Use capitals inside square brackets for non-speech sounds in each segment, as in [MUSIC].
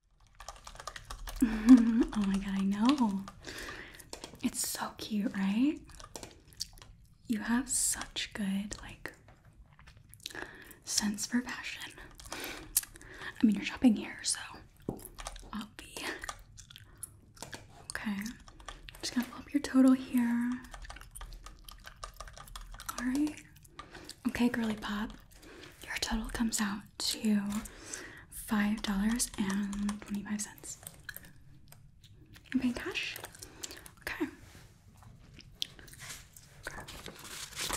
[LAUGHS] oh my god, I know. It's so cute, right? You have such good, like, sense for fashion. I mean, you're shopping here, so Okay. Just gonna pull your total here. Alright. Okay, girly pop. Your total comes out to five dollars and twenty-five cents. You paying cash? okay.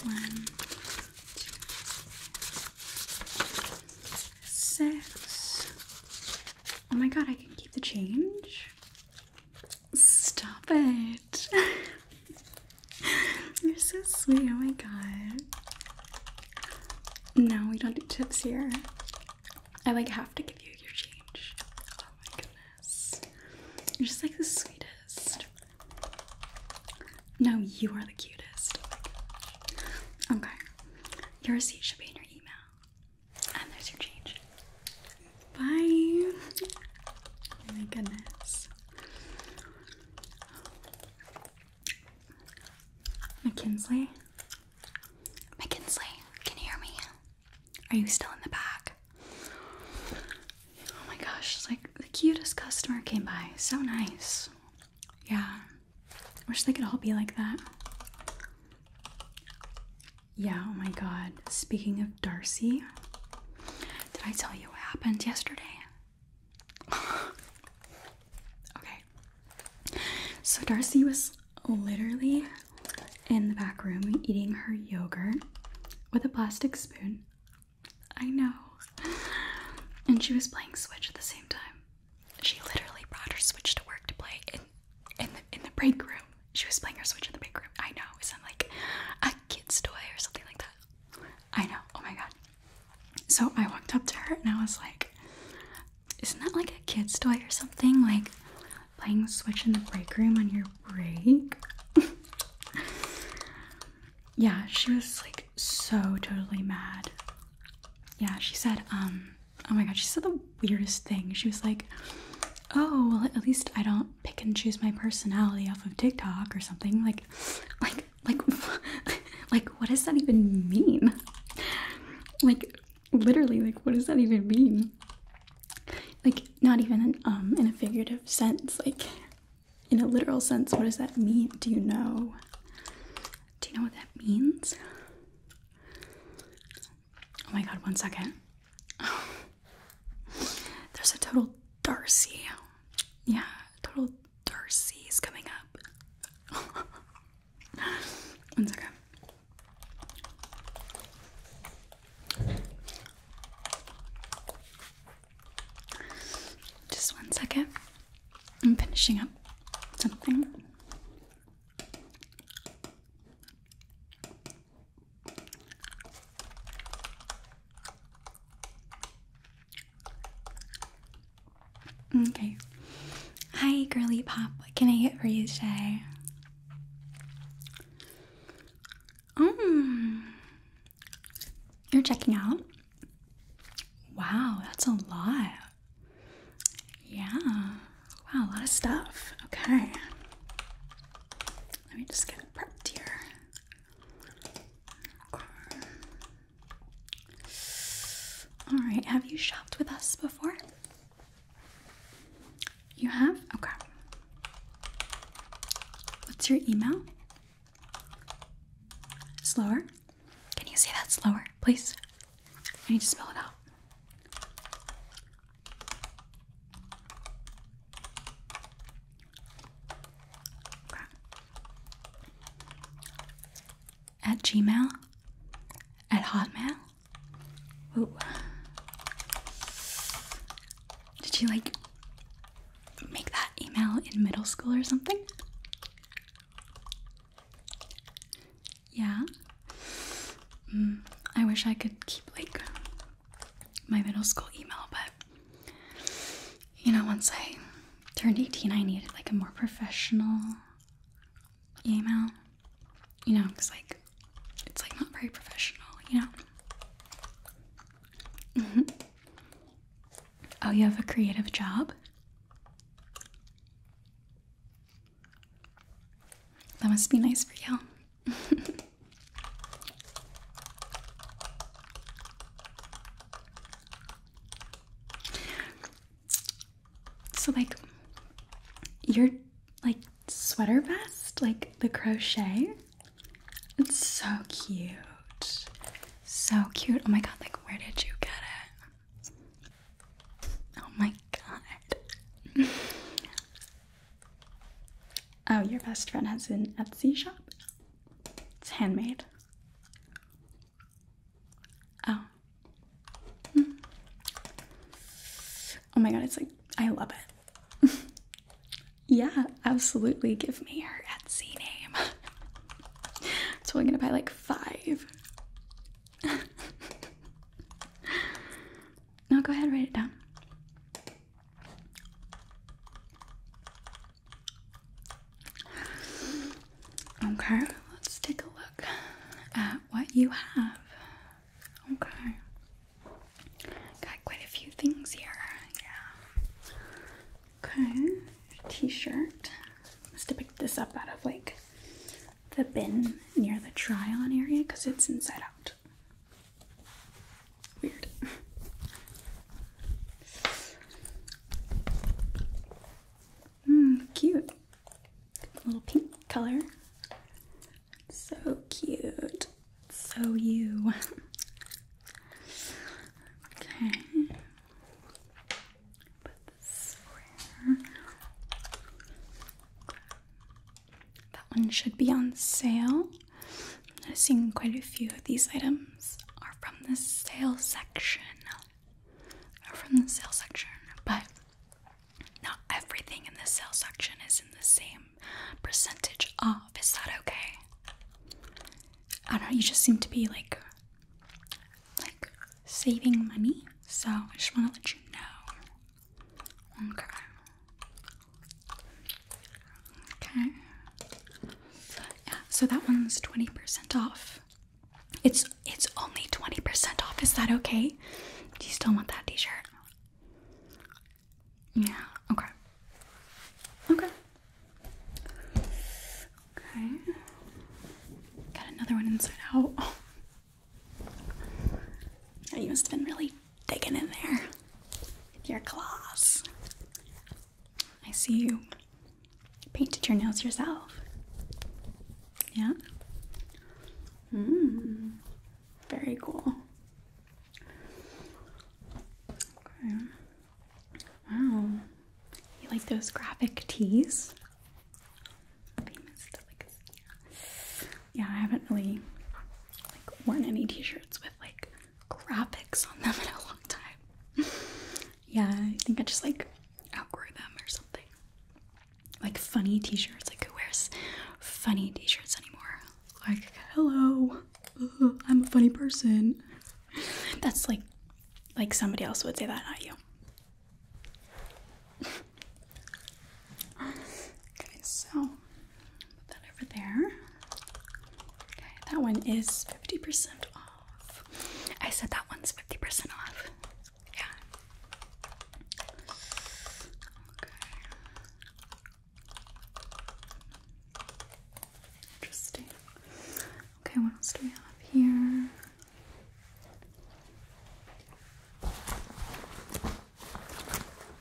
One, two, six. Oh my god, I can keep the change. Stop it. [LAUGHS] [LAUGHS] You're so sweet. Oh my god. No, we don't do tips here. I like have to give you your change. Oh my goodness. You're just like the sweetest. No, you are the cutest. Oh okay. Your receipt should be in your email. And there's your change. Bye. Oh my goodness. McKinley, McKinley, can you hear me? Are you still in the back? Oh my gosh, it's like the cutest customer came by. So nice. Yeah. Wish they could all be like that. Yeah, oh my god. Speaking of Darcy, did I tell you what happened yesterday? [SIGHS] okay. So Darcy was literally in the back room eating her yogurt with a plastic spoon. I know. And she was playing Switch at the same time. She literally brought her Switch to work to play in in the, in the break room. She was playing her Switch in the break room. I know. It sounded like a kid's toy or something like that. I know. Oh my god. So I walked up to her and I was like, Isn't that like a kid's toy or something? Like playing Switch in the break room on your break? [LAUGHS] yeah, she was like so totally mad. Yeah, she said, um, oh my god, she said the weirdest thing. She was like, Oh, well at least I don't pick and choose my personality off of TikTok or something. Like [LAUGHS] like like, [LAUGHS] like what does that even mean? Like, literally, like what does that even mean? Like, not even in, um in a figurative sense. Like, in a literal sense, what does that mean? Do you know? Do you know what that means? Oh my god, one second. [SIGHS] There's a total Darcy. Yeah, total Darcy is coming up. [LAUGHS] One second. Just one second. I'm finishing up something. Okay. Hi, girly pop. What can I get for you today? Mm. You're checking out? Wow, that's a lot. Yeah. Wow, a lot of stuff. Okay. Let me just get prepped here. Okay. All right, have you shopped with us before? You have? Okay. What's your email? Slower? Can you say that slower, please? I need to spell it out. At Gmail? At Hotmail? Ooh. Did you like make that email in middle school or something? Yeah. Mm, I wish I could keep like my middle school email, but you know, once I turned 18, I needed like a more professional email, you know, because like it's like not very professional, you know. [LAUGHS] Oh, you have a creative job? That must be nice for you. [LAUGHS] So like your like sweater vest, like the crochet, it's so cute. So cute. Oh my god, like where did you get it? Oh my god. [LAUGHS] oh, your best friend has an Etsy shop. It's handmade. Oh. Hmm. Oh my god, it's like, I love it. [LAUGHS] yeah, absolutely. Give me her Etsy name. so [LAUGHS] I'm gonna buy like five. [LAUGHS] no, go ahead, write it down. Okay, let's take a look at what you have. Okay. Got quite a few things here. Yeah. Okay. T-shirt. Must to pick this up out of like the bin near the try-on area because it's inside out. Weird. Mm, cute. Little pink color. So cute. So you. okay. That one should be on sale. I'm noticing quite a few of these items are from the sale section. Are from the sale section, but not everything in the sale section is in the same percentage off. Is that okay? I don't know, you just seem to be like like saving money. So I just wanna let you know. Okay. Okay. Yeah, so that one's 20% off. It's it's only 20% off. Is that okay? Do you still want that t-shirt? Yeah, okay. Okay. Okay. Got another one inside out. Oh. [LAUGHS] You must have been really digging in there. With your claws. I see you painted your nails yourself. Yeah? Mmm. Very cool. Okay. Wow. You like those graphic tees? Famous Yeah, I haven't really like worn any t-shirts with like graphics on them [LAUGHS] in a long time. yeah, I think I just like outgrew them or something. Like funny t-shirts. Like who wears funny t-shirts anymore? Like, hello, I'm a funny person. [LAUGHS] That's like like somebody else would say that, not you. [LAUGHS] okay, so put that over there. Okay, that one is 50% off. I said that one's 50% off. Yeah. Interesting. Okay, what else do we have here?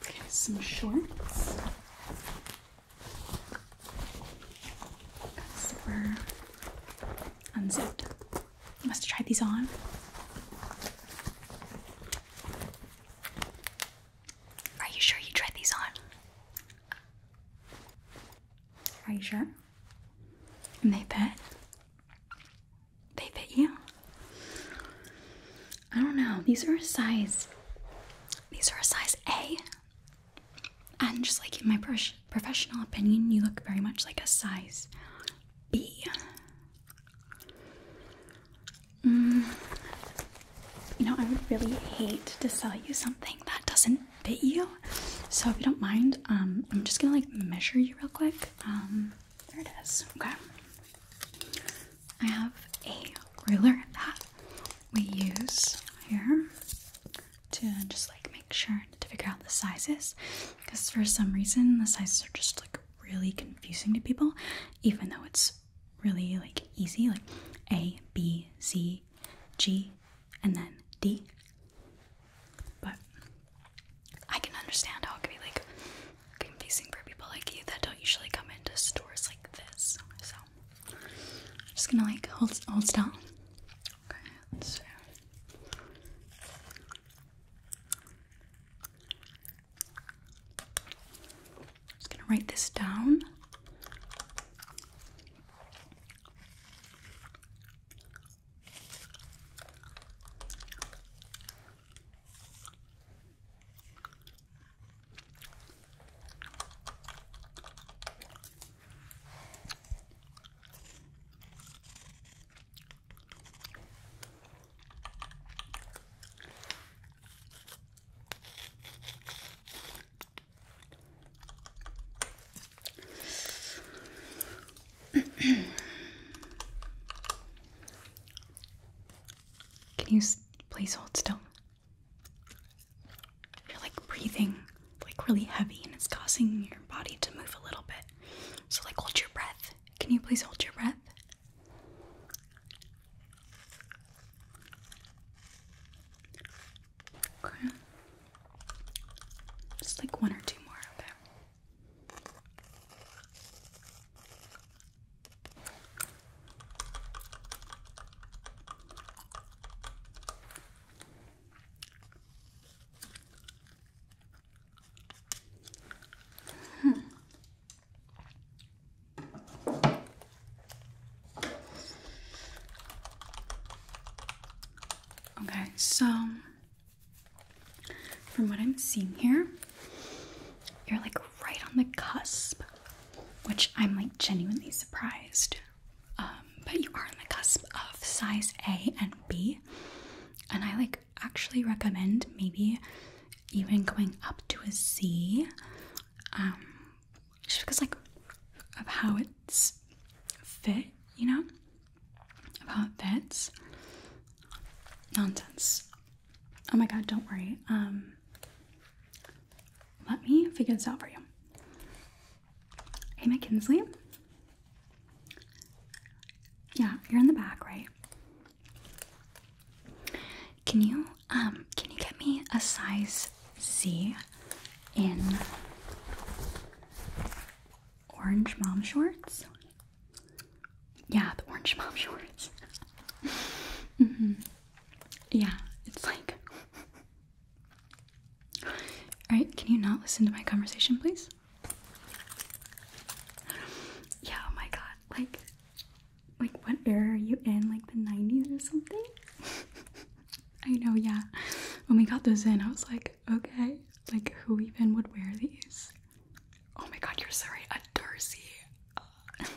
Okay, some shorts. Super unzipped. Must try these on. Are you sure you tried these on? Are you sure? And they fit? They fit you? I don't know. These are a size. These are a size A. And just like in my professional opinion, you look very much like a size B. Mm. You know, I would really hate to sell you something that doesn't fit you. So if you don't mind, um, I'm just gonna like measure you real quick. Um, there it is. Okay. I have a ruler that we use here to just like make sure to figure out the sizes because for some reason the sizes are just like really confusing to people even though it's really like easy like A, B, C, G and then D. But I can understand how it could be like confusing for people like you that don't usually come into stores like this. So I'm just gonna like hold hold still. Okay, let Just gonna write this down. Can you please hold still? You're like breathing like really heavy and it's causing your body to move a little bit. So, like, hold your breath. Can you please hold your breath? Okay. Just like one or two more, okay? Hmm. Okay, so from what I'm seeing here, you're like right on the cusp, which I'm like genuinely surprised um, but you are on the cusp of size A and B. And I like actually recommend maybe even going up to a C, um, just because like of how it's fit, you know, of how it fits. Nonsense. Oh my god, don't worry. Um, let me figure this out for you. Hey, McKinsley. Yeah, you're in the back, right? Can you um can you get me a size Z in orange mom shorts? Yeah, the orange [LAUGHS] mom shorts. mm-hmm. Yeah, it's like [LAUGHS] Alright, can you not listen to my conversation, please? Yeah, oh my god. Like, like what era are you in? Like the 90s or something? [LAUGHS] I know, yeah. When we got those in, I was like, okay, like who even would wear these? Oh my god, you're sorry, a Darcy. [LAUGHS]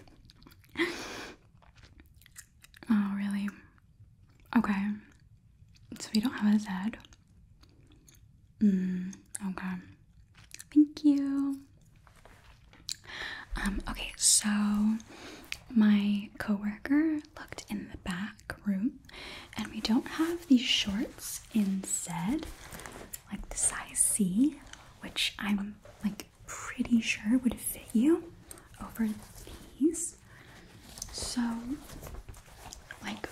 oh, really? Okay. So we don't have a Z. Hmm, okay. Thank you. Um, okay, so my coworker looked in the back room and we don't have these shorts in Z, like the size C, which I'm like pretty sure would fit you over these. So, like,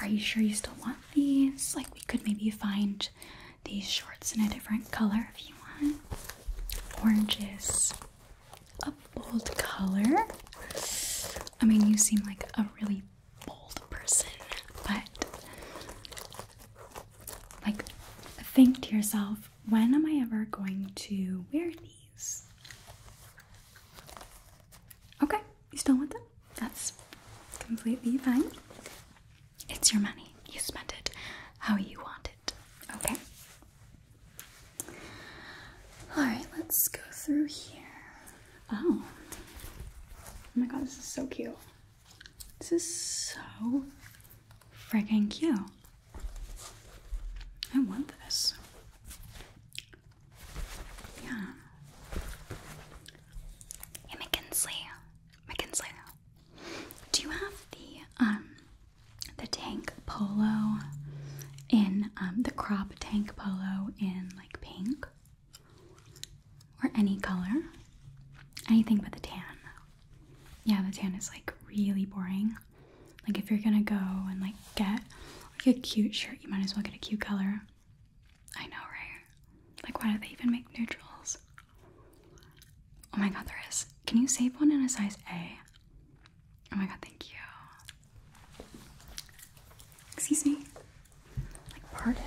are you sure you still want these? Like, we could maybe find these shorts in a different color if you want. Oranges, a bold color. I mean, you seem like a really bold person, but like, think to yourself when am I ever going to wear these? Okay, you still want them? That's completely fine. It's your money. You spent it how you want it. Okay? Alright, let's go through here. Oh. Oh my god, this is so cute. This is so freaking cute. I want this. Yeah. Hey, McKinsley. McKinsley. Do you have the um the tank polo in um the crop tank polo in like pink? Or any color? Anything but the tan. Yeah, the tan is like really boring. Like if you're gonna go and like get like a cute shirt, you might as well get a cute color. I know, right? Like why do they even make neutrals? Oh my god, there is. Can you save one in a size A? Oh my god, thank you. Excuse me? Like pardon?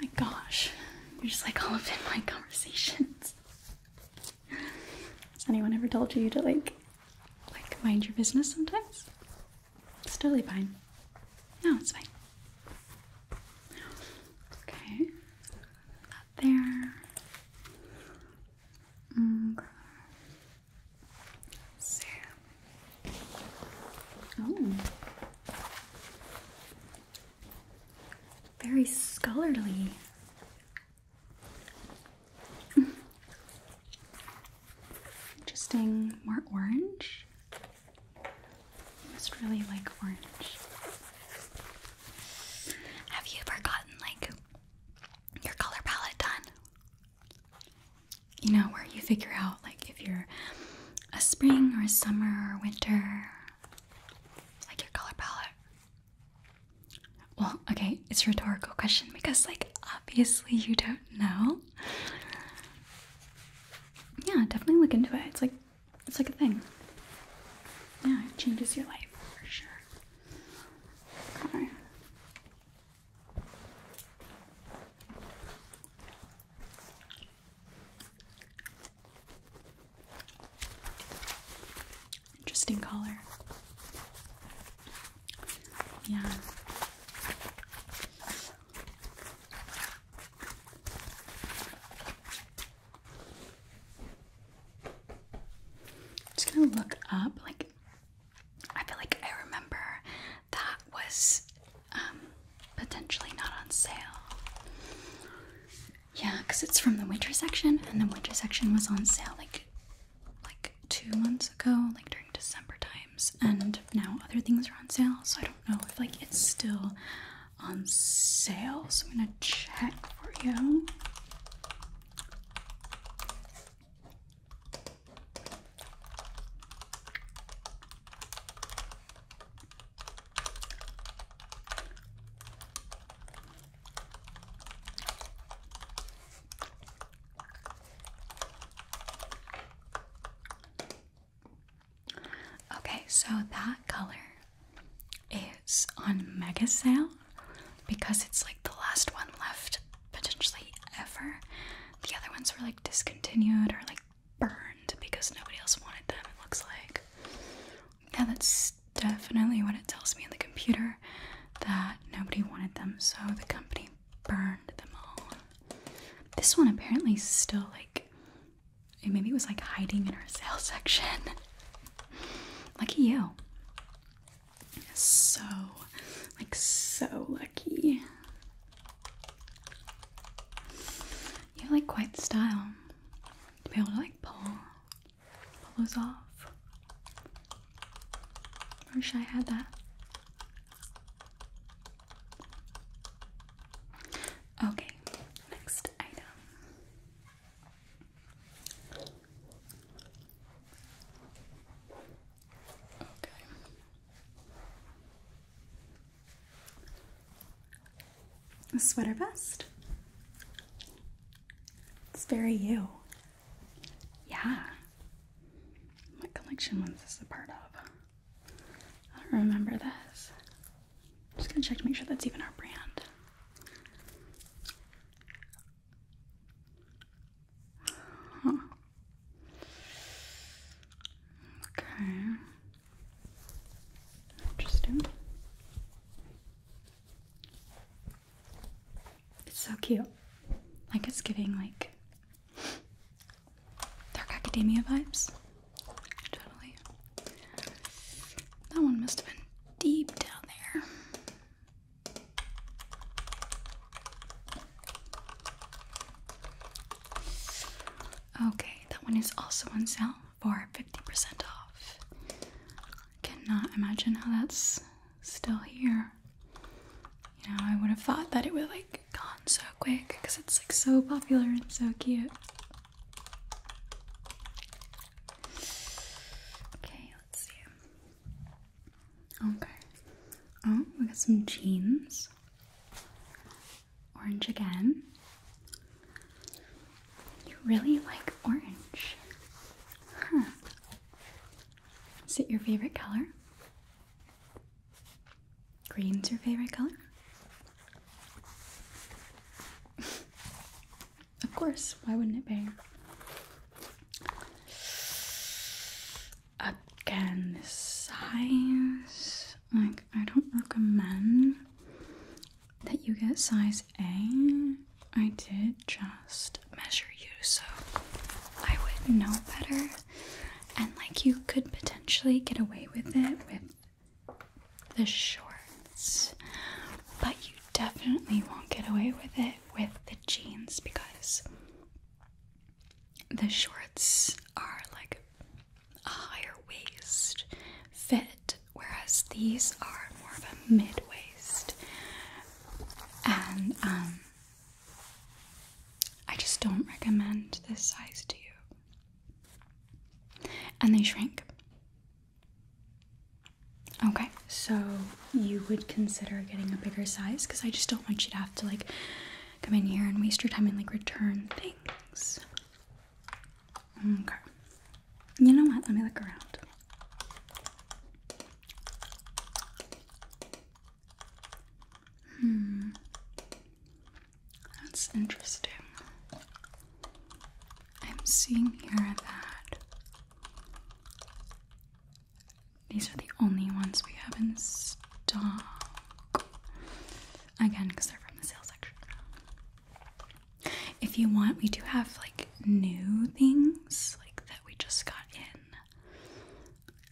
my gosh. You're just like all up in my [LAUGHS] conversations. Has Anyone ever told you to like, like mind your business sometimes? It's totally fine. No, it's fine. Okay, there. Okay. Mm-hmm. oh, very scholarly. Interesting, more orange. I just really like orange. Have you forgotten like your color palette done? You know, where you figure out like if you're a spring or a summer or winter, like your color palette. Well, okay, it's rhetorical question because, like, obviously you don't know. Yeah, definitely look into it. It's like, it's like a thing. Yeah, it changes your life for sure. Okay. Interesting color. Yeah. just gonna look up. Like, I feel like I remember that was um, potentially not on sale. Yeah, because it's from the winter section, and the winter section was on sale like like two months ago, like during December times, and now other things are on sale, so I don't know if like it's still on sale. So I'm gonna check for you. Okay, so that color is on mega sale because it's like the last one left potentially ever. The other ones were like discontinued or like burned because nobody else wanted them, it looks like. Yeah, that's definitely what it tells me in the computer that nobody wanted them, so the company burned them all. This one apparently is still like it maybe it was like hiding in our [LAUGHS] sale section. lucky you. So, like, so lucky. You have like quite style to be able to like pull pull those off. Wish I had that. Okay, next item. Okay a sweater vest. It's very you. Yeah. What collection was this a part of? I don't remember this. just gonna check to make sure that's even our brand. Okay. Interesting. It's so cute. Like it's giving like Dark Academia vibes. Totally. That one must have been deep down there. Okay, that one is also on sale for 50% off cannot imagine how that's still here. You know, I would have thought that it would like gone so quick because it's like so popular and so cute. Okay, let's see. Okay. Oh, we got some jeans. Orange again. You really like orange. Huh. Is it your favorite color? Green's your favorite color? [LAUGHS] of course, why wouldn't it be? Again, this size, like, I don't recommend that you get size A. I did just measure you so I would know better, and like you could potentially get away with it with the shorts, but you definitely won't get away with it with the jeans because the shorts are like a higher waist fit whereas these are more of a mid waist. And um, I just don't recommend this size to you. And they shrink. Okay, so you would consider getting a bigger size because I just don't want you to have to like come in here and waste your time and like return things. Okay. You know what? Let me look around. Hmm. That's interesting. I'm seeing here that these are the only ones we have in stock. Again, because they're from the sales section. If you want, we do have like new things like that we just got in.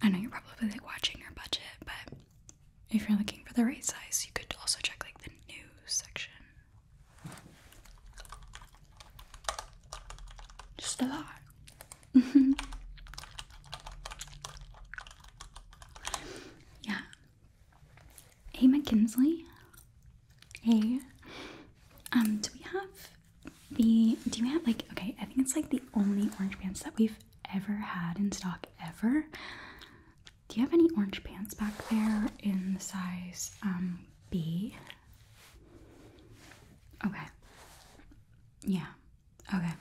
I know you're probably like watching your budget, but if you're looking for the right size, you could also check like the new section. Just a lot. [LAUGHS] yeah. Hey McKinley. Hey, um, do we have B? Do you have like? Okay, I think it's like the only orange pants that we've ever had in stock ever. Do you have any orange pants back there in the size um, B? Okay. Yeah. Okay.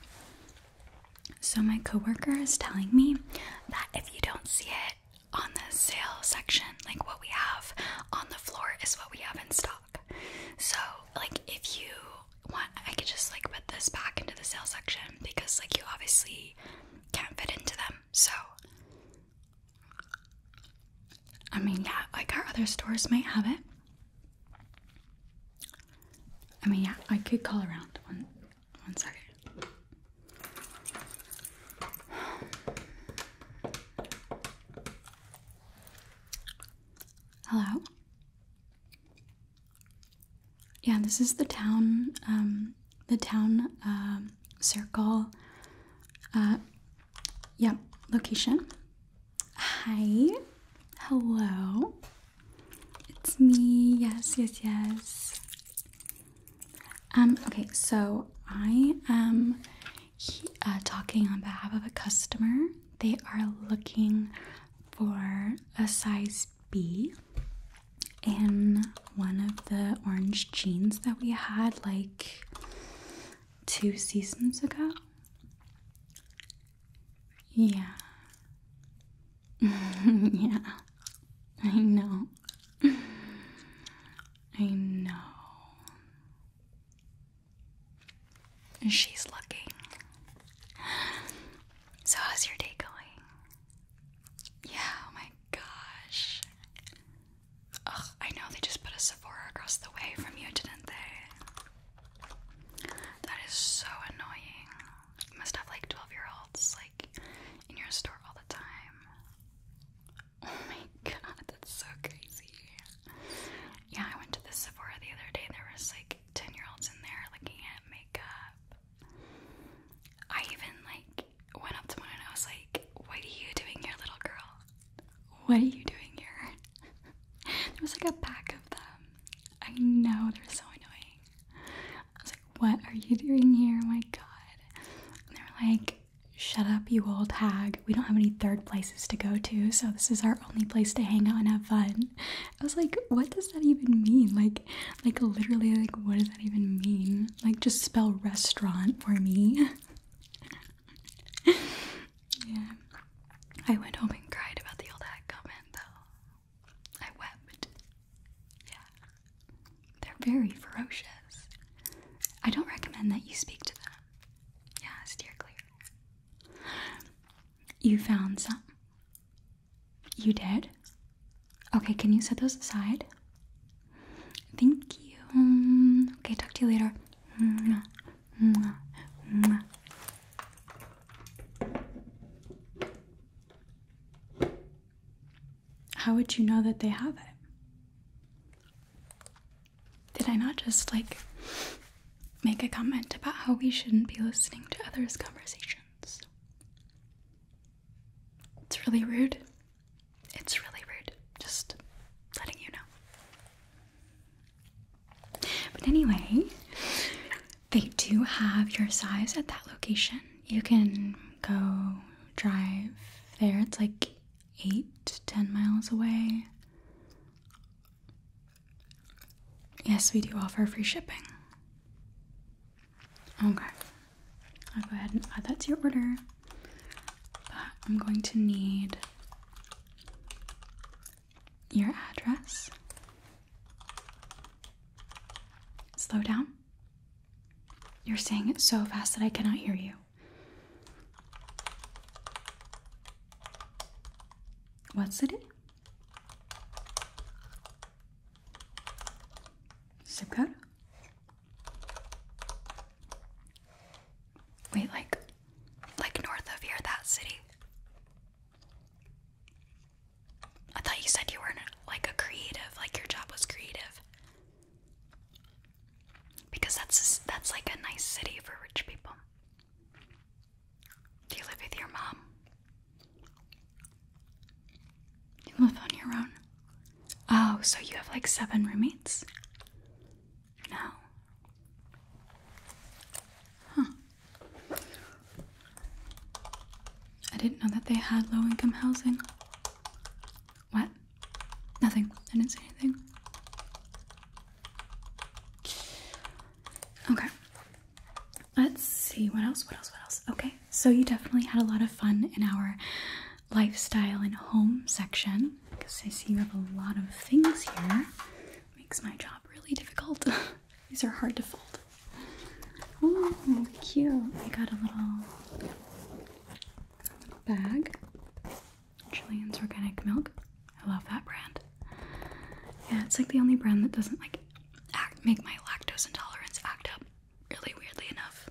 So my coworker is telling me that if you don't see it on the sale section. Like what we have on the floor is what we have in stock. So, like, if you want, I could just like put this back into the sale section because, like, you obviously can't fit into them. So, I mean, yeah, like our other stores might have it. I mean, yeah, I could call around one, one, sorry. Hello? Yeah, this is the town, um, the town, um, circle, uh, yeah, location. Hi. Hello. It's me. Yes, yes, yes. Um, okay, so I am uh, talking on behalf of a customer. They are looking for a size B in one of the orange jeans that we had like two seasons ago. Yeah. [LAUGHS] yeah. I know. I know. She's looking. So, how's your day going? Yeah, oh my gosh. I know they just put a Sephora across the way from you, didn't they? That is so annoying. must have like 12 year olds like in your store all the time. Oh my god, that's so crazy. Yeah, I went to the Sephora the other day. There was like 10 year olds in there looking at makeup. I even like went up to one and I was like, What are you doing here, little girl? What are you doing here? [LAUGHS] there was like a pack of them. I know, they're so annoying. I was like, What are you doing here? Oh my god. they are like, shut up, you old hag. We don't have any third places to go to, so this is our only place to hang out and have fun. I was like, what does that even mean? Like, like literally, like what does that even mean? Like, just spell restaurant for me. [LAUGHS] I went home and cried about the old hag comment though. I wept. Yeah. They're very ferocious. I don't recommend that you speak to them. Yeah, steer clear. You found some. You did? Okay, can you set those aside? Thank you. Okay, talk to you later. How would you know that they have it? Did I not just like make a comment about how we shouldn't be listening to others' conversations? It's really rude. It's really rude. Just letting you know. But anyway, they do have your size at that location. You can go drive there. It's like Eight ten miles away. Yes, we do offer free shipping. Okay, I'll go ahead and add that to your order. But I'm going to need your address. Slow down. You're saying it so fast that I cannot hear you. What's it? Zip code? Wait, like, like north of here, that city. I thought you said you were like a creative, like your job was creative. Because that's that's like a nice city for rich people. Do you live with your mom? You live on your own. Oh, so you have like seven roommates? No. Huh. I didn't know that they had low income housing. What? Nothing. I didn't see anything. Okay. Let's see. What else? What else? What else? Okay. So you definitely had a lot of fun in our lifestyle and home section because I see you have a lot of things here. Makes my job really difficult. [LAUGHS] These are hard to fold. Oh, cute. I got a little bag. Jillian's Organic Milk. I love that brand. Yeah, it's like the only brand that doesn't like act make my lactose intolerance act up really weirdly enough.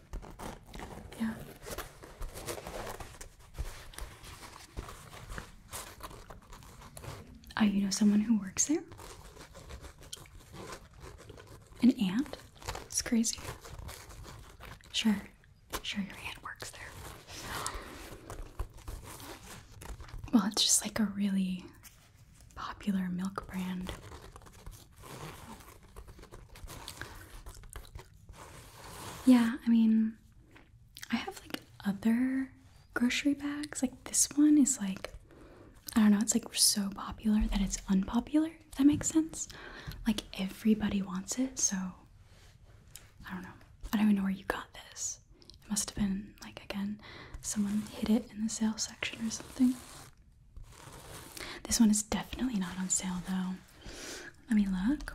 Yeah. Oh, you know someone who works there? An aunt? It's crazy. Sure, Sure, your hand works there. Well, it's just like a really popular milk brand. Yeah, I mean, I have like other grocery bags. Like this one is like, I don't know, it's like so popular that it's unpopular. If that makes sense. Like everybody wants it, so I don't know. I don't even know where you got this. It must have been like again, someone hid it in the sale section or something. This one is definitely not on sale though. Let me look.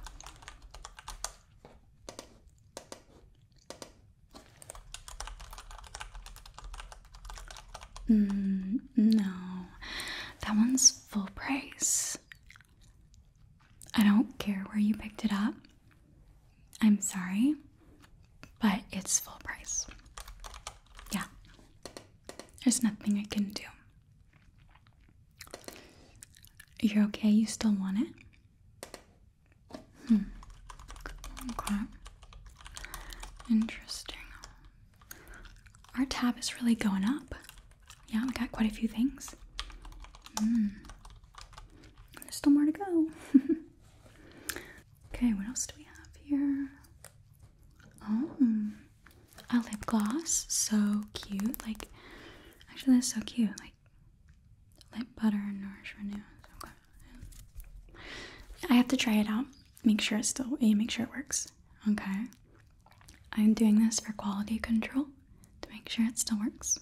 Mm, no, that one's full price. I don't care where you picked it up. I'm sorry, but it's full price. Yeah. There's nothing I can do. You're okay? You still want it? Hmm. Interesting. Our tab is really going up. Yeah, we got quite a few things. Hmm. There's still more to go. [LAUGHS] okay, what else do we have here? Oh, a lip gloss. So cute. Like, actually, that's so cute. Like, lip butter and nourish renew. I have to try it out. Make sure it's still. You make sure it works. Okay. I'm doing this for quality control to make sure it still works.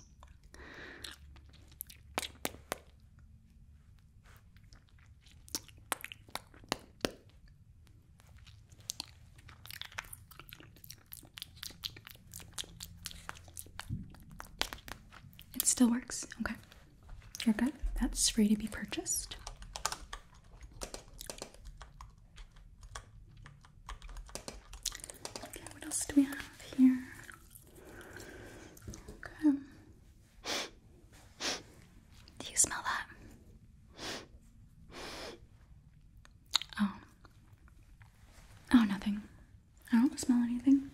It still works. Okay. You're good. That's free to be purchased. Okay, what else do we have here? Okay. Do you smell that? Oh. Oh, nothing. I don't smell anything.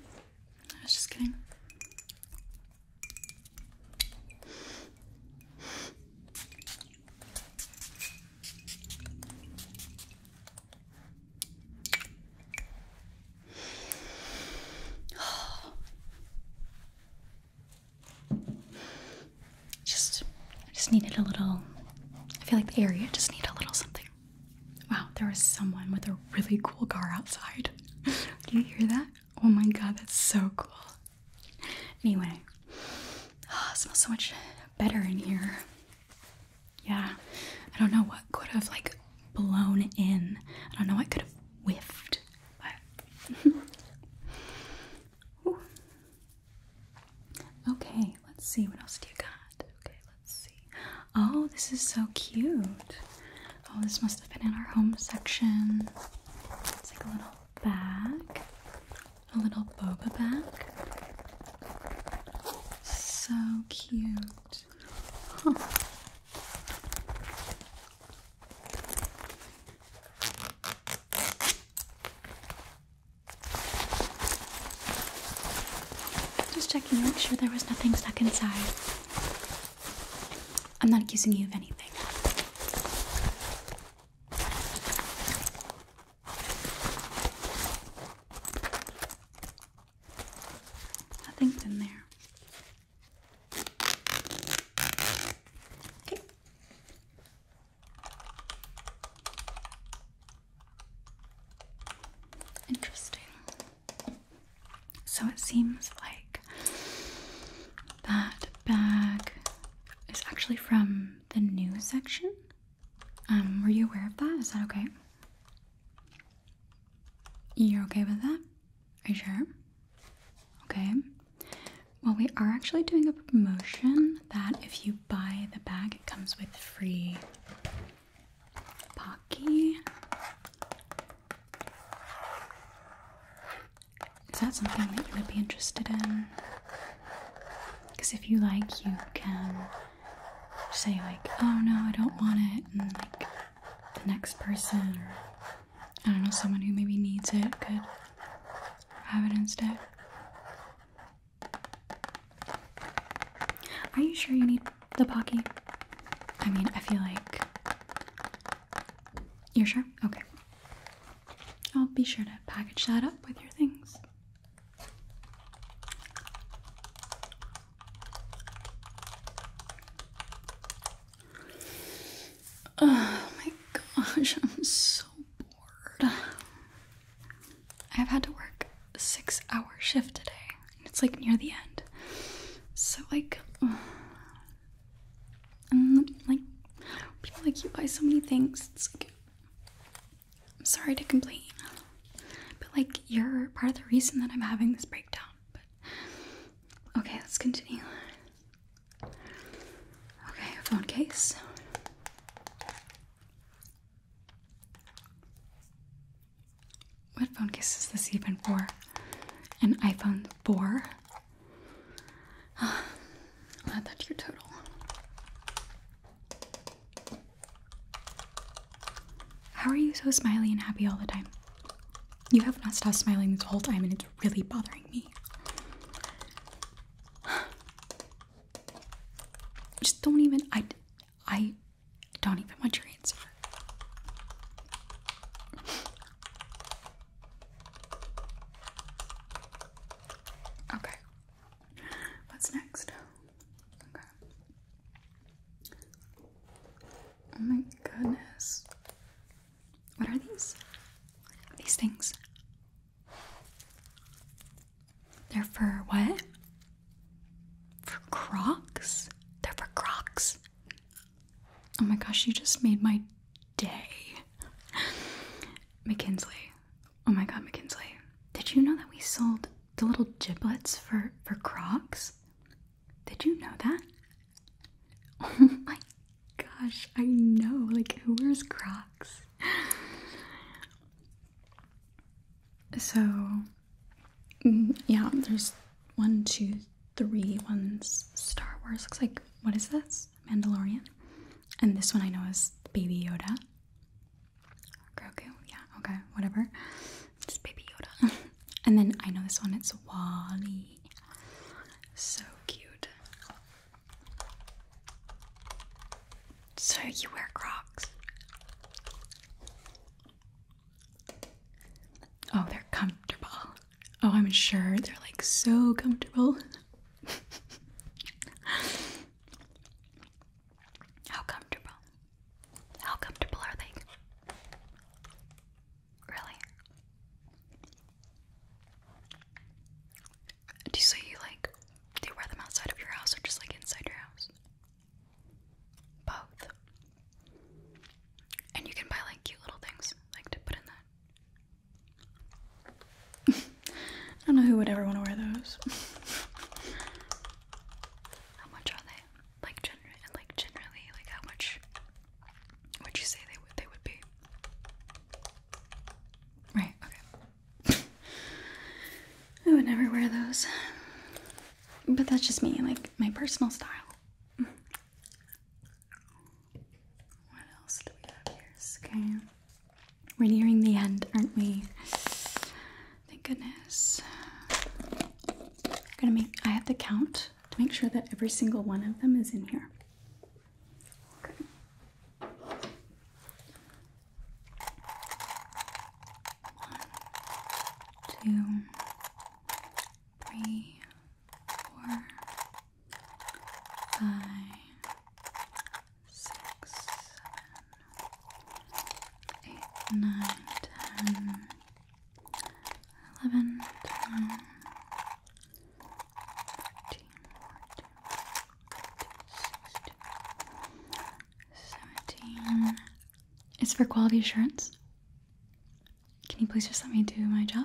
I was just kidding. [SIGHS] Just, I just needed a little. I feel like the area just need a little something. Wow, there was someone with a really cool car outside. [LAUGHS] Do you hear that? Oh my god, that's so cool. Anyway, oh, smells so much better in here. Yeah, I don't know what could have like blown in. I don't know what could have whiffed, [LAUGHS] okay, let's see what else do you got. Okay, let's see. Oh, this is so cute. Oh, this must have been in our home section. It's like a little bag, a little boba bag. So cute. Just checking to make sure there was nothing stuck inside. I'm not accusing you of anything. I Nothing's in there. Okay. Interesting. So it seems like that bag is actually from the news section. Um, were you aware of that? Is that okay? You're okay with that? Are you sure? Okay. Well, we are actually doing a promotion that if you buy the bag, it comes with free Pocky. Is that something that you would be interested in? Because if you like, you can say, like, oh no, I don't want it, and like the next person, or I don't know, someone who maybe needs it could have it instead. Are you sure you need the Pocky? I mean, I feel like. You're sure? Okay. I'll be sure to package that up with your things. Oh my gosh, I'm so bored. I've had to work a six hour shift today, and it's like near the end. So, like, [SIGHS] like, people like you buy so many things, it's I'm sorry to complain, but like, you're part of the reason that I'm having this breakdown. But okay, let's continue. Okay, phone case. What phone case is this even for? An iPhone 4? I'll [SIGHS] add that to your total. How are you so smiley and happy all the time? You have not stopped smiling this whole time and it's really bothering me. [SIGHS] Just don't even I I don't even want your answer. Okay. What's next? Oh my goodness. What are these? These things. They're for what? For Crocs? They're for Crocs. Oh my gosh, you just made my day. [LAUGHS] McKinley. Oh my god, McKinley! Did you know that we sold the little giblets for for Crocs? Did you know that? [LAUGHS] Oh my gosh, I know. Like who wears Crocs? [SIGHS] so mm, yeah, there's one, two, three ones Star Wars. Looks like what is this? Mandalorian, and this one I know is Baby Yoda. Grogu, yeah, okay, whatever. It's Baby Yoda. [LAUGHS] and then I know this one, it's Wally. So cute. So you wear Crocs. Oh, they're comfortable. Oh, I'm sure they're like so comfortable. [LAUGHS] How comfortable? How comfortable are they? Really? Do you say you like do you wear them outside of your house or just like inside your house? Both. And you can buy like cute little things like to put in that [LAUGHS] I don't know who would ever want to wear those. [LAUGHS] how much are they? Like generally, like generally, like how much would you say they would they would be? Right. Okay. [LAUGHS] I would never wear those, but that's just me, like my personal style. What else do we have here? Scan. We're nearing the end, aren't we? Thank goodness. I'm gonna make I have to count to make sure that every single one of them is in here. One, two, three, four, five, six, seven, eight, nine, ten, eleven, ten, thirteen, fourteen, fifteen, sixteen, seventeen. It's for quality assurance. Can you please just let me do my job?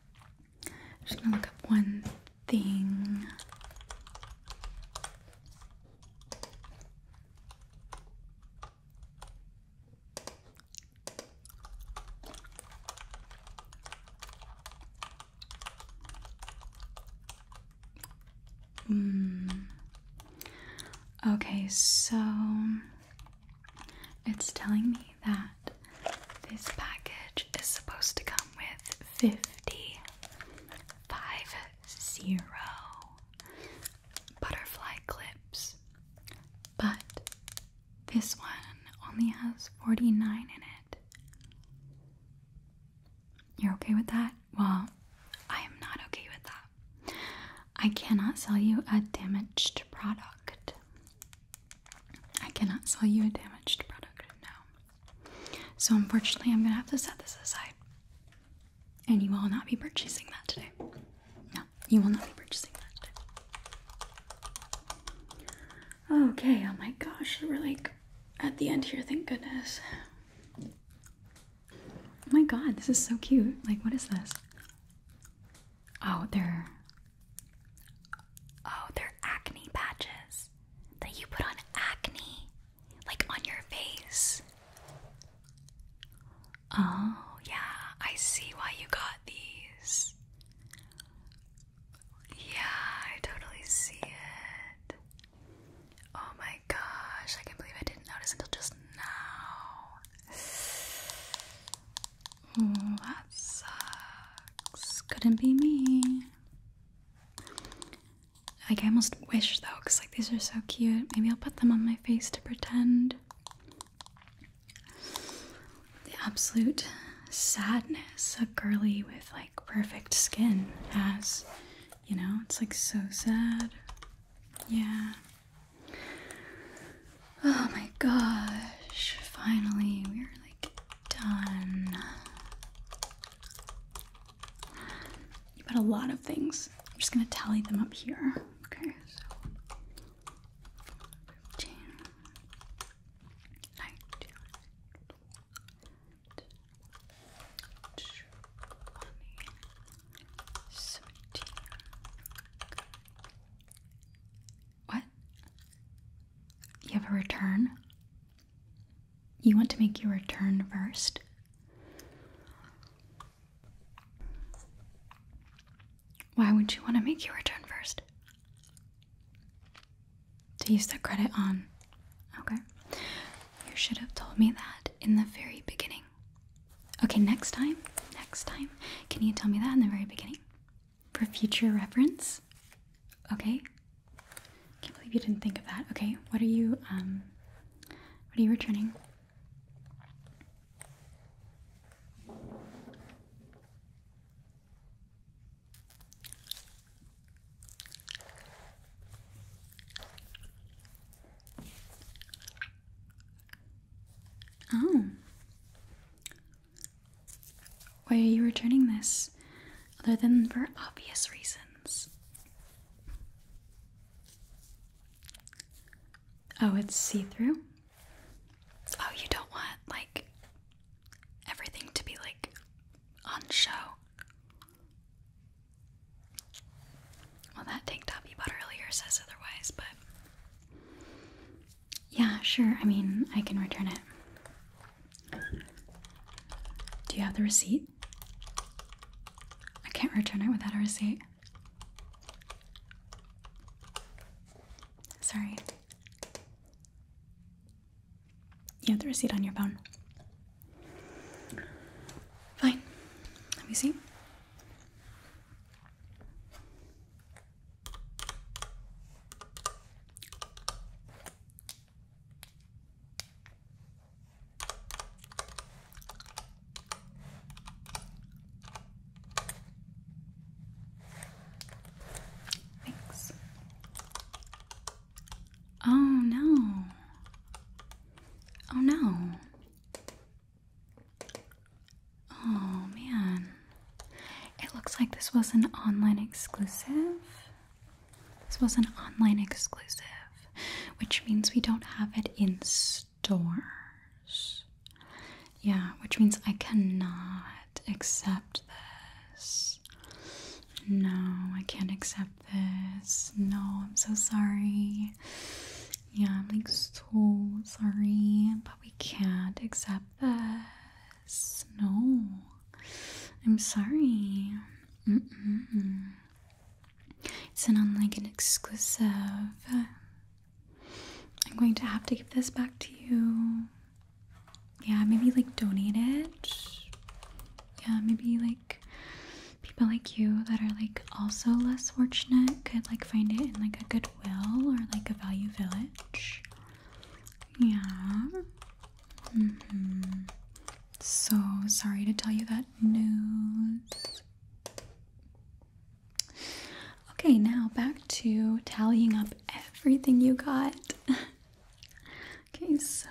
I'm just gonna look up one thing. Mm. Okay, so it's telling me that this package is supposed to come with 50 five zero butterfly clips, but this one only has 49 in it. You're okay with that? Well, I am not okay with that. I cannot sell you a damaged product. I cannot sell you a damaged product now. So, unfortunately, I'm going to have to set this aside. And you will not be purchasing that today. No, you will not be purchasing that today. Okay, oh my gosh, we're like at the end here, thank goodness. Oh my god, this is so cute. Like, what is this? Oh, there. Oh, they're acne patches that you put on acne, like on your face. Oh, yeah, I see why you got these. Yeah, I totally see it. Oh my gosh, I can't believe I didn't notice until just now that sucks. Couldn't be me. Like, I almost wish though, because like these are so cute. Maybe I'll put them on my face to pretend. The absolute sadness a girly with like perfect skin has. You know, it's like so sad. Yeah. Oh my gosh, finally we're like done. You have got a lot of things. I'm just gonna tally them up here. Okay, what? You have a return? You want to make your return first? Why would you want to make your return first? To use the credit on. Okay. You should have told me that in the very beginning. Okay, next time, next time, can you tell me that in the very beginning? for future reference. Okay. Can't believe you didn't think of that. Okay, what are you um what are you returning? Oh, why are you returning this? Other than for obvious reasons. Oh, it's see through? Oh, you don't want, like, everything to be, like, on show. Well, that tank top you bought earlier says otherwise, but yeah, sure. I mean, I can return it. Do you have the receipt? I can't return it without a receipt. Sorry. You have the receipt on your phone. Fine. Let me see. Thanks. Oh no. Oh no. Oh man. It looks like this was an online exclusive. This was an online exclusive, which means we don't have it in stores. Yeah, which means I cannot accept this. No, I can't accept this. No, I'm so sorry. Yeah, I'm like so sorry we can't accept this. No. I'm sorry. Mm -mm. It's not like an exclusive. I'm going to have to give this back to you. Yeah, maybe like donate it. Yeah, maybe like people like you that are like also less fortunate could like find it in like a good Goodwill or like a Value Village. Yeah. Mm-hmm. So sorry to tell you that news. Okay, now back to tallying up everything you got. [LAUGHS] okay, so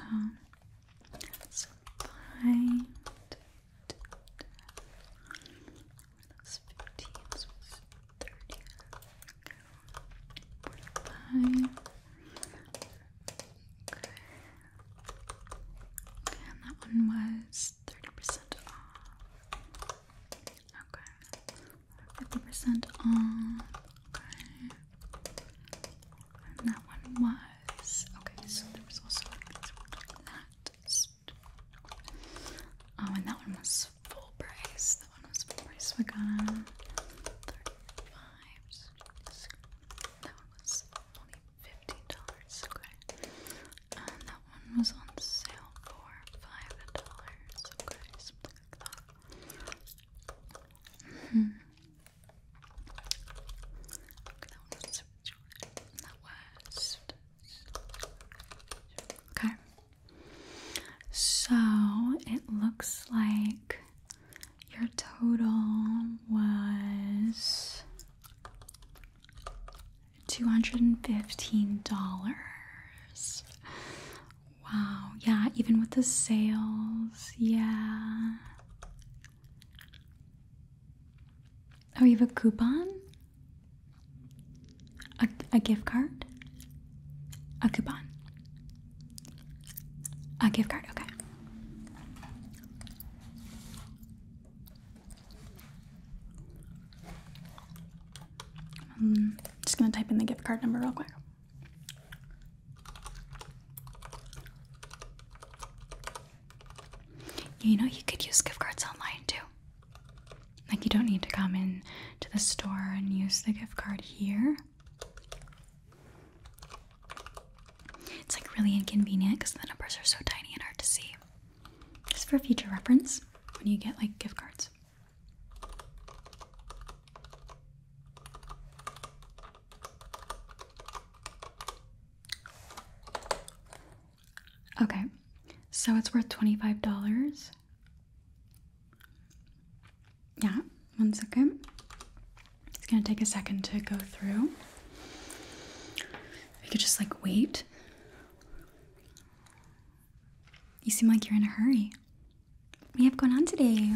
minus 15, so it's 30. Forty-five. Okay. Okay, and that one was 30% off. Okay. 50% off. Okay. And that one was. Okay, so there was also like this one like that. So oh and that one was full price that one was full price we got um, 35 that one was only $50 okay and that one was on sale for $5 mm-hmm. okay that mm -hmm. okay that that was Okay. So it looks like your total was $215. Wow. Yeah, even with the sales. Yeah. Oh, you have a coupon? A, gift card? A coupon? A gift card, okay. I'm hmm, just gonna type in the gift card number real quick. You know, you could use gift cards online too. Like, you don't need to come in to the store and use the gift card here. It's like really inconvenient because the numbers are so tiny and hard to see. Just for future reference, when you get like gift cards. Okay, so it's worth $25. Yeah, one second. It's gonna take a second to go through. If you could just like wait. You seem like you're in a hurry. What do you have going on today?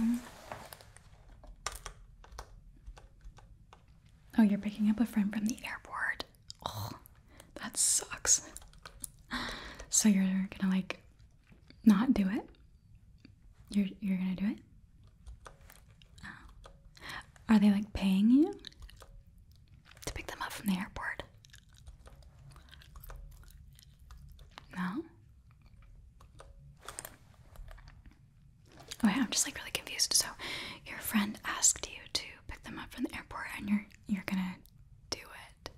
Oh, you're picking up a friend from the airport. That sucks. So you're gonna like not do it? You're you're gonna do it? Oh. Are they like paying you to pick them up from the airport? No. Okay, I'm just like really confused. So your friend asked you to pick them up from the airport and you're you're gonna do it.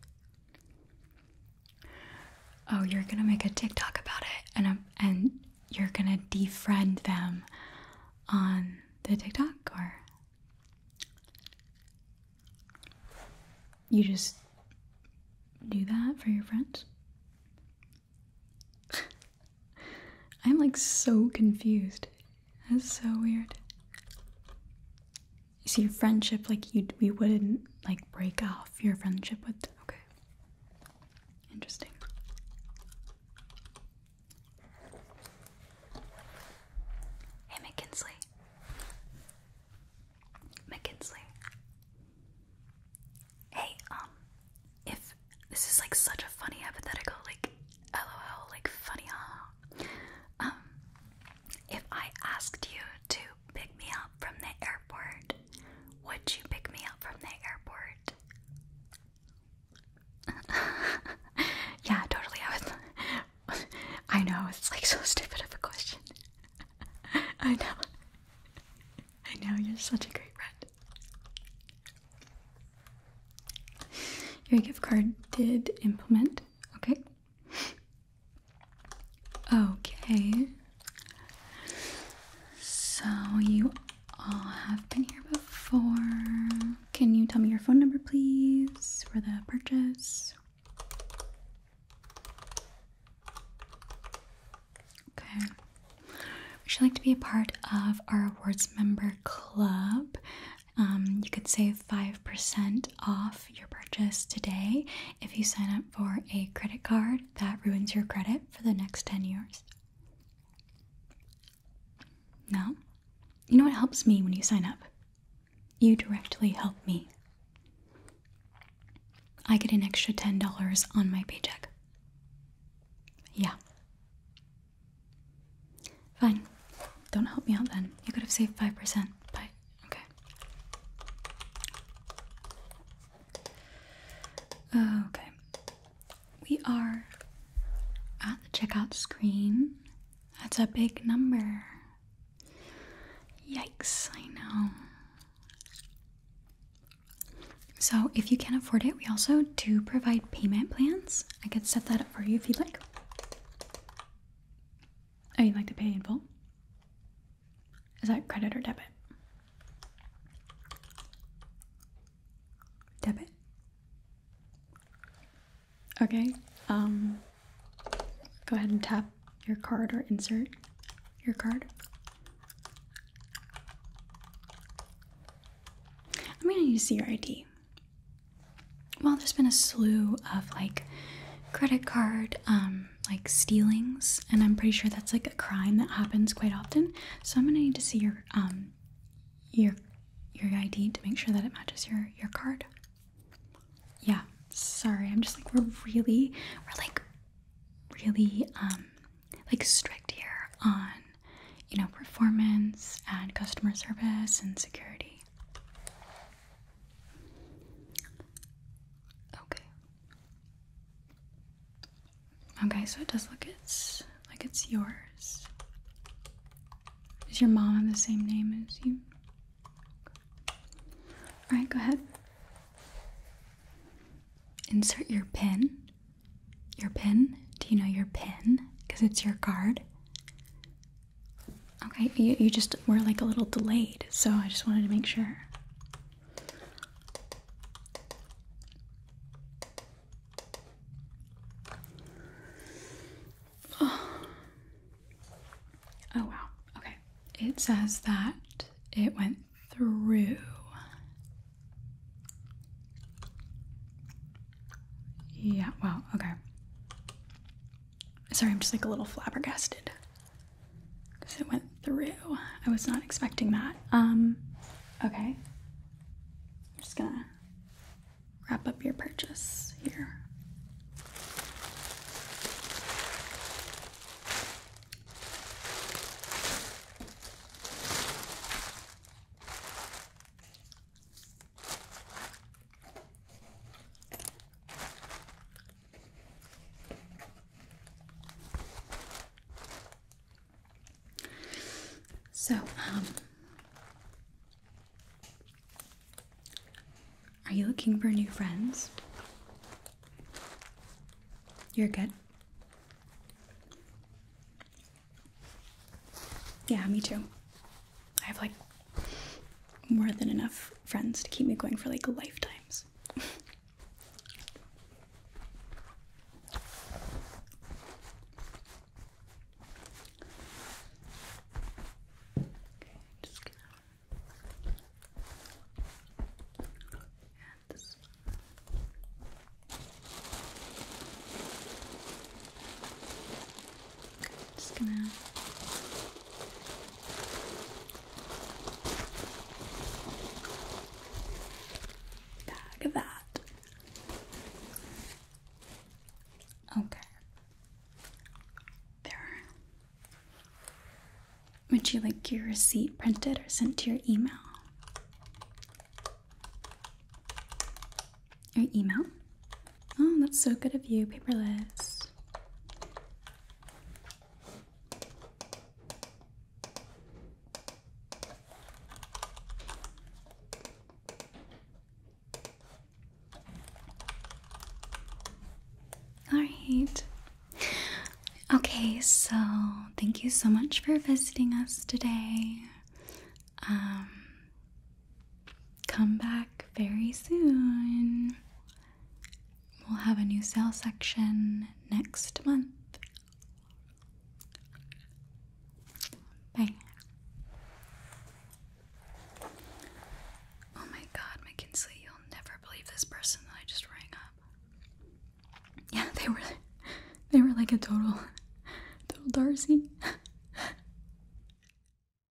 Oh, you're gonna make a TikTok about it, and um, and you're gonna defriend them on the TikTok, or you just do that for your friends? [LAUGHS] I'm like so confused. That's so weird. You see, friendship, like, you we wouldn't, like, break off your friendship with. Okay. Interesting. Hey, McKinsley. McKinsley. Hey, um, if this is like such a funny hypothetical, like, lol, like funny, huh? Um, if I asked you to pick me up from the airport, would you pick me up from the airport? [LAUGHS] yeah, totally. I was. [LAUGHS] I know it's like so stupid of a question. [LAUGHS] I know. I know you're such a great friend. Your gift card did implement. Okay. Okay. So you all have been here before. Can you tell me your phone number, please, for the purchase? Okay. Would you like to be a part of our awards member club? Um, you could save 5% off your purchase today if you sign up for a credit card that ruins your credit for the next 10 years. No? You know what helps me when you sign up? You directly help me. I get an extra $10 on my paycheck. Yeah. Fine. Don't help me out then. You could have saved 5%. Bye. Okay. Okay. We are at the checkout screen. That's a big number. Yikes, I know. So, if you can't afford it, we also do provide payment plans. I could set that up for you if you'd like. Oh, you'd like to pay in full? Is that credit or debit? Debit? Okay, um, go ahead and tap your card or insert your card. I'm gonna need to see your ID well, there's been a slew of like credit card, um, like stealings, and I'm pretty sure that's like a crime that happens quite often. So I'm gonna need to see your um, your your ID to make sure that it matches your your card. Yeah, sorry, I'm just like we're really we're like really um like strict here on you know performance and customer service and security. Okay. Okay, so it does look it's like it's yours. Is your mom have the same name as you? Alright, go ahead. Insert your pin. Your pin? Do you know your pin? Because it's your card. Okay, you, just were like a little delayed, so I just wanted to make sure. Oh, oh wow. Okay. It says that it went through. Yeah, well, okay. Sorry, I'm just like a little flabbergasted because it went through. I was not expecting that. Um, okay. I'm just gonna wrap up your purchase here. So, um, are you looking for new friends? You're good. Yeah, me too. I have like more than enough friends to keep me going for like lifetimes. I'm just gonna bag that. Okay. There. Would you like your receipt printed or sent to your email? Your email? Oh, that's so good of you, paperless. Alright. Okay, so thank you so much for visiting us today. Um, come back very soon. We'll have a new sale section next month. Bye. Oh my god, McKinsey, you'll never believe this person that I just rang up. Yeah, they were they were like a total total Darcy. [LAUGHS]